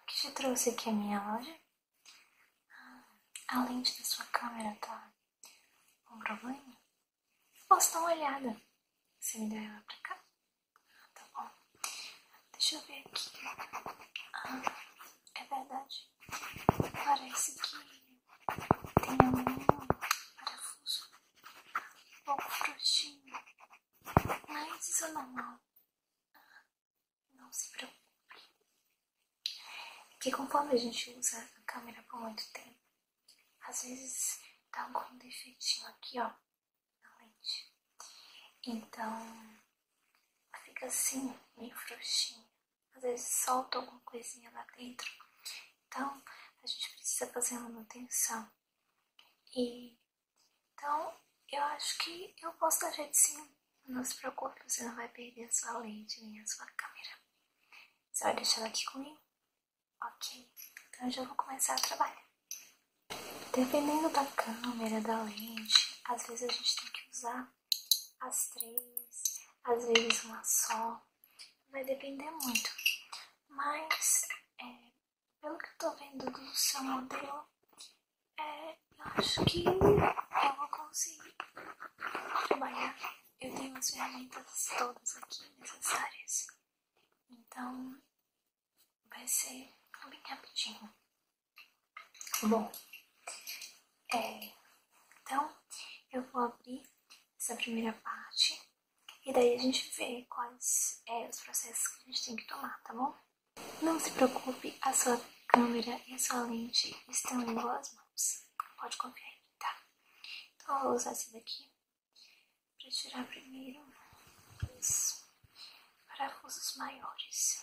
O que te trouxe aqui à minha loja? Ah, a lente da sua câmera tá com problema? Eu posso dar uma olhada. Você me dá ela pra cá? Ah, tá bom. Deixa eu ver aqui. Ah, é verdade. Parece que tem um parafuso um pouco frouxinho. Mas isso é normal. Não se preocupe, é Que conforme a gente usa a câmera por muito tempo, às vezes dá algum defeitinho aqui, ó, na lente. Então, fica assim, meio frouxinha. Às vezes solta alguma coisinha lá dentro. Então, a gente precisa fazer manutenção. E então, eu acho que eu posso dar jeito sim. Não hum. se preocupe, você não vai perder a sua lente nem a sua câmera. Você vai deixar ela aqui comigo? Ok, então eu já vou começar a trabalhar. Dependendo da câmera, da lente, às vezes a gente tem que usar as três, às vezes uma só. Vai depender muito. Mas é, pelo que eu tô vendo do seu modelo, é, eu acho que eu vou conseguir trabalhar. Eu tenho as ferramentas todas aqui necessárias. Então, vai ser bem rapidinho. Bom, é, então eu vou abrir essa primeira parte e daí a gente vê quais é os processos que a gente tem que tomar, tá bom? Não se preocupe, a sua câmera e a sua lente estão em boas mãos. Pode confiar em mim, tá? Então, eu vou usar esse daqui para tirar primeiro os parafusos maiores.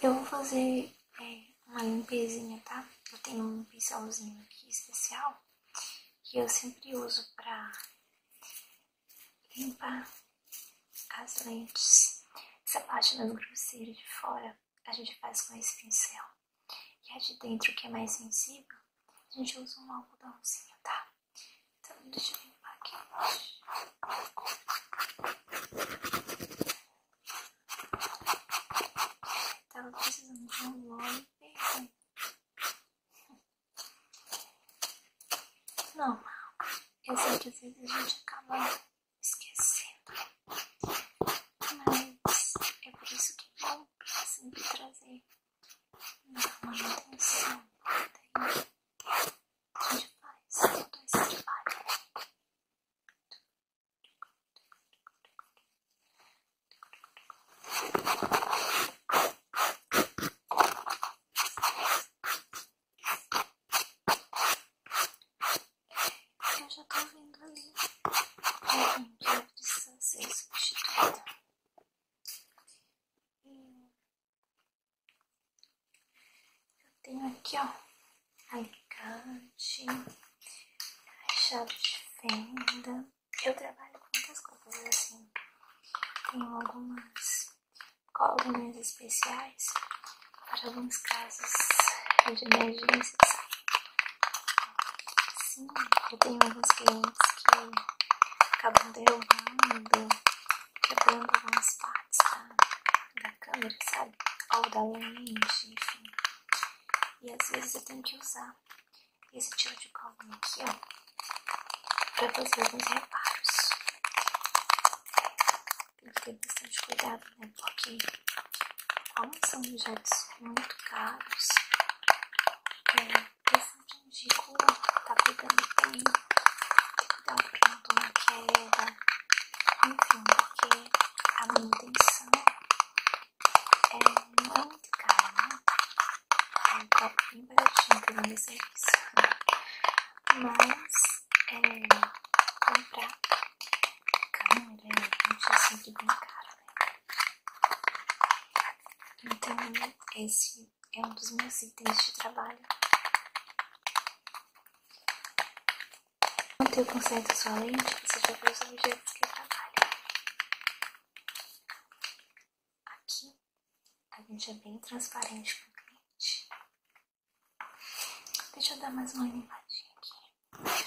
Eu vou fazer é, uma limpezinha, tá? Eu tenho um pincelzinho aqui especial que eu sempre uso pra limpar as lentes. Essa parte mais grosseira de fora a gente faz com esse pincel. E a de dentro, que é mais sensível, a gente usa um algodãozinho, tá? Então, deixa eu limpar aqui embaixo. Tava precisando de um óleo perfume. Normal. Eu sei que às vezes a gente acaba esquecendo. Mas é por isso que é sempre trazer então, a manutenção daí a gente faz todo esse trabalho. Eu já tô vendo ali alguém que precisa é ser eu tenho aqui, ó, alicate, chave de fenda. Eu trabalho com muitas coisas assim. Tenho algumas colunas especiais para alguns casos de emergência, sabe? Sim, eu tenho alguns clientes que acabam derrubando, quebrando algumas partes da, câmera, sabe? Ou da lente, enfim. E às vezes eu tenho que usar esse tiro de colinha aqui, ó, pra fazer alguns reparos. Tem que ter bastante cuidado, né? Porque, como são objetos é muito caros, assim. é, essa de rua, tá pegando tempo, tem que dar um pinto na queda, enfim, porque a manutenção é muito cara, né? É um copo bem baratinho pelo meu serviço, mas é, comprar câmera né? é um sempre bem caro, né? Então, esse é um dos meus itens de trabalho. Manter o conceito da sua lente, você já vê os objetos que eu trabalho. Aqui, a gente é bem transparente com o cliente. Deixa eu dar mais uma limpadinha aqui.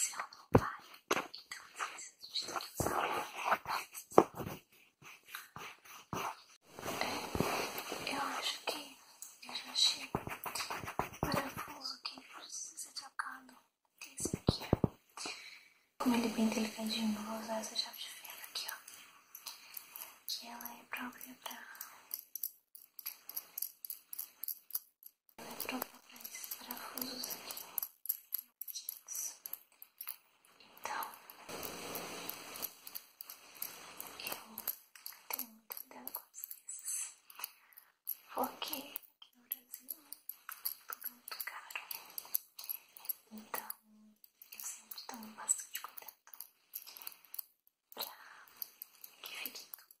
Se ela não vai, então diz a gente tem Eu acho que eu já achei o parafuso que precisa ser trocado. Que é esse aqui, Como ele é bem delicadinho, eu vou usar essa chave de ferro aqui, ó. Que ela é própria pra ela entrou por esses parafusos aqui. Então, eu tenho muito cuidado com as porque aqui no Brasil é tudo muito caro. Então, eu sempre estou bastante contente para que fique tudo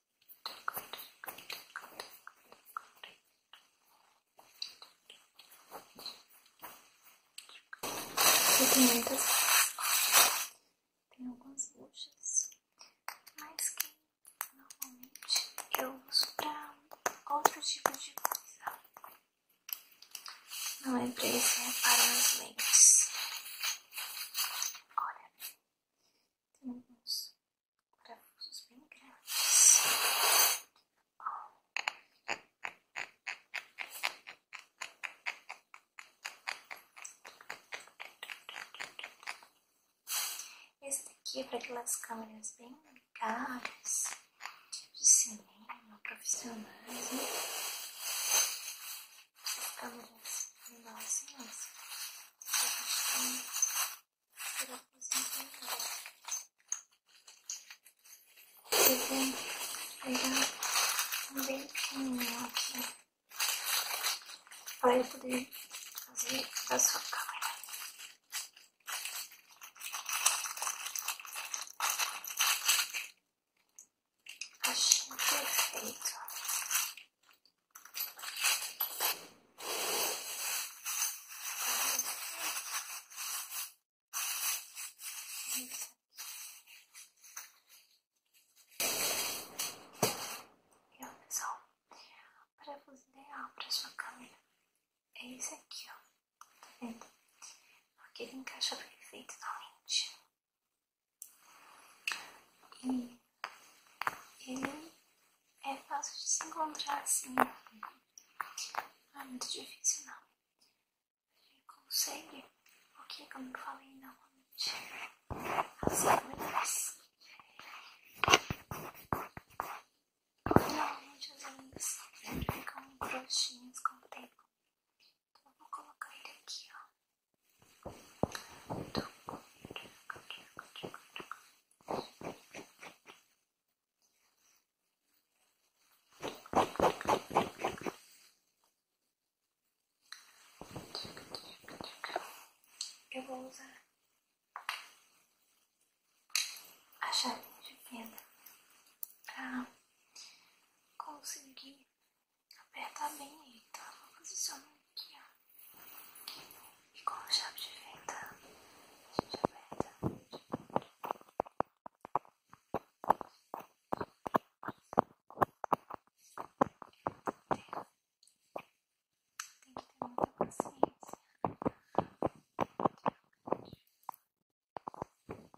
Aqui tem muitas. Tem algumas buchas, mas que normalmente eu uso para outro tipo de coisa. Não é pra esse reparar é lentes. Olha, tem alguns parafusos bem grandes. Esse daqui é para aquelas câmeras bem caras, de cinema, profissionais, né? câmeras me dão silêncio. Eu costumo ter a posição em casa. Eu tenho pegar um bem pequenininho aqui para eu poder fazer da sua câmera. Achei perfeito. E Viu, pessoal? para parafuso ideal para sua câmera é esse aqui, ó. Tá vendo? Porque ele encaixa perfeitamente. E ele é fácil de se encontrar assim. Não é muito difícil, não. Ele consegue, porque que eu falei normalmente, as coisas. Normalmente os olhinhos ficam roxinhos com o tempo. Então eu vou colocar ele aqui, ó. Eu vou usar a chave de pedra para conseguir Aperta bem aí, tá? Vou posicionar aqui, ó. E com a chave de fenda, a gente aperta. Tem, que ter muita paciência. Um trabalho bem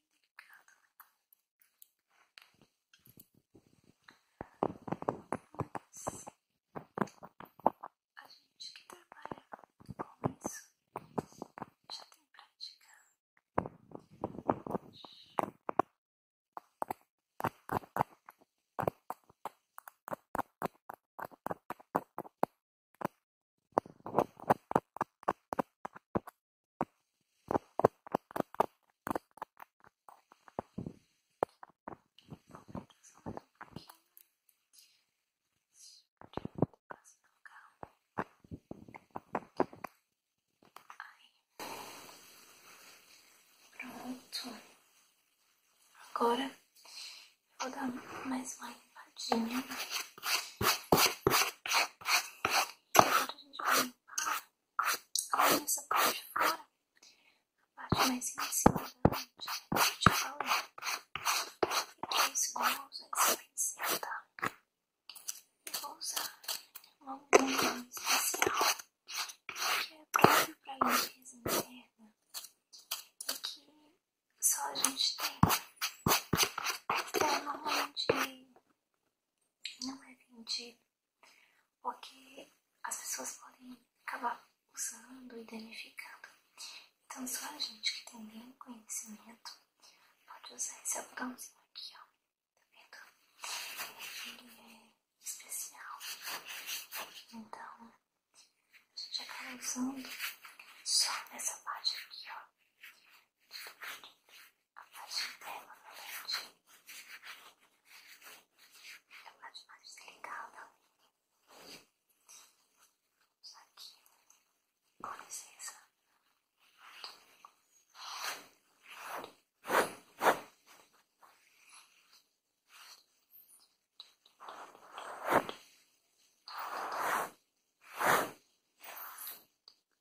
delicado, né? a gente que trabalha com isso já tem prática. Pronto. Agora vou dar mais uma limpadinha. Agora a Olha essa parte de fora, a parte mais sensível da mente. Né? Eu te falei. Fiquei segurando esse pincel, tá? Eu vou usar uma goma especial que é próprio pra limpeza interna e que só a gente tem. Então, normalmente não é vendido porque as pessoas podem acabar usando e danificando. Então, só a gente que tem bem conhecimento pode usar esse algodãozinho aqui, ó. Tá vendo? Ele é especial. Então, a gente acaba usando só essa parte aqui, ó. Muito bonito a parte interna da lente é a parte mais delicada. Vamos aqui, com licença.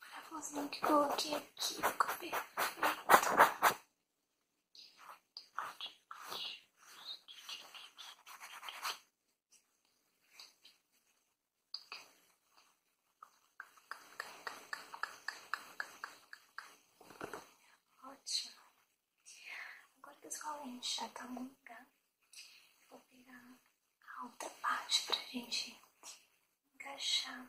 parafusinho que coloquei aqui ficou perfeito. Ótimo. Agora que os rolês já estão no lugar, vou pegar a outra parte pra gente encaixar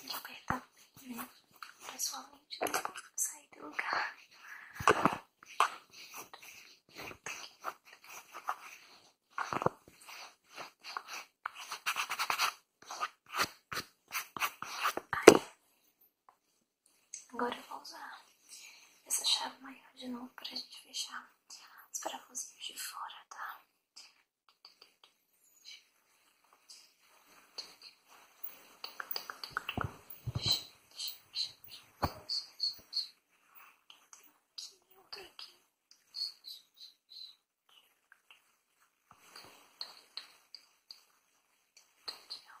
de apertar né? pessoalmente sair do lugar. Aí, agora eu vou usar. essa chave maior de novo para a gente fechar os parafusinhos de fora, tá? Tem um aqui, outro aqui. Aqui, ó.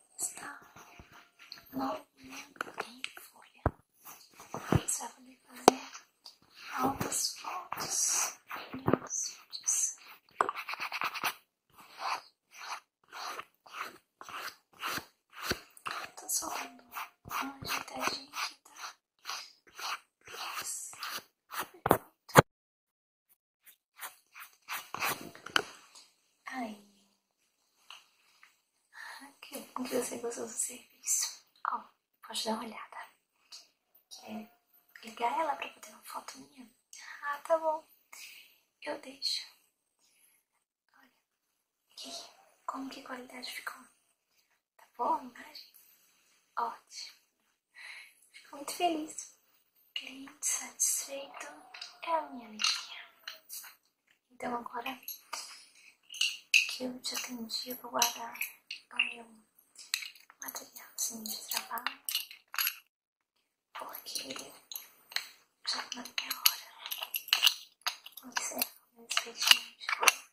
está movimento em folha. Você vai poder fazer altas fotos, lindos vídeos. Tô soltando uma ajeitadinha aqui, tá? Isso. Perfeito. Aí, que bom que você gostou do serviço. Ó, oh, pode dar uma olhada. Quer ligar ela pra poder uma foto minha? Ah, tá bom. Eu deixo. Olha, aqui, como que qualidade ficou? Tá boa a imagem? Ótimo. Fico muito feliz. Cliente satisfeito é a minha alegria. Então agora que eu te atendi, eu vou guardar o meu materialzinho assim, de trabalho, porque já tá na minha hora. Observa o meu espetinho de hoje.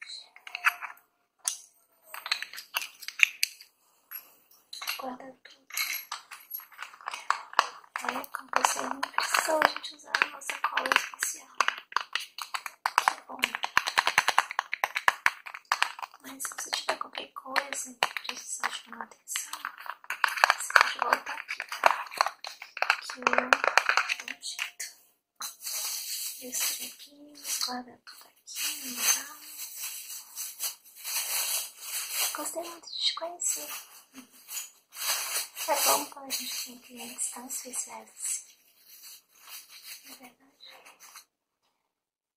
Aí, quando você não precisou a gente usar a nossa cola especial. Que bom. Mas se você tiver qualquer coisa que precisar chamar atenção, você pode voltar aqui, tá? Que eu dou um aqui, guarda tudo aqui tá? Gostei muito de te conhecer. É bom quando a gente tem clientes tão especiais assim. É Na verdade.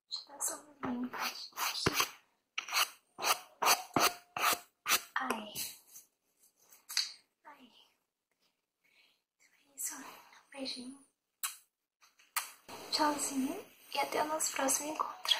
Deixa eu dar só Ai. Ai. Então é isso. Um beijinho. Tchauzinho. E até o nosso próximo encontro.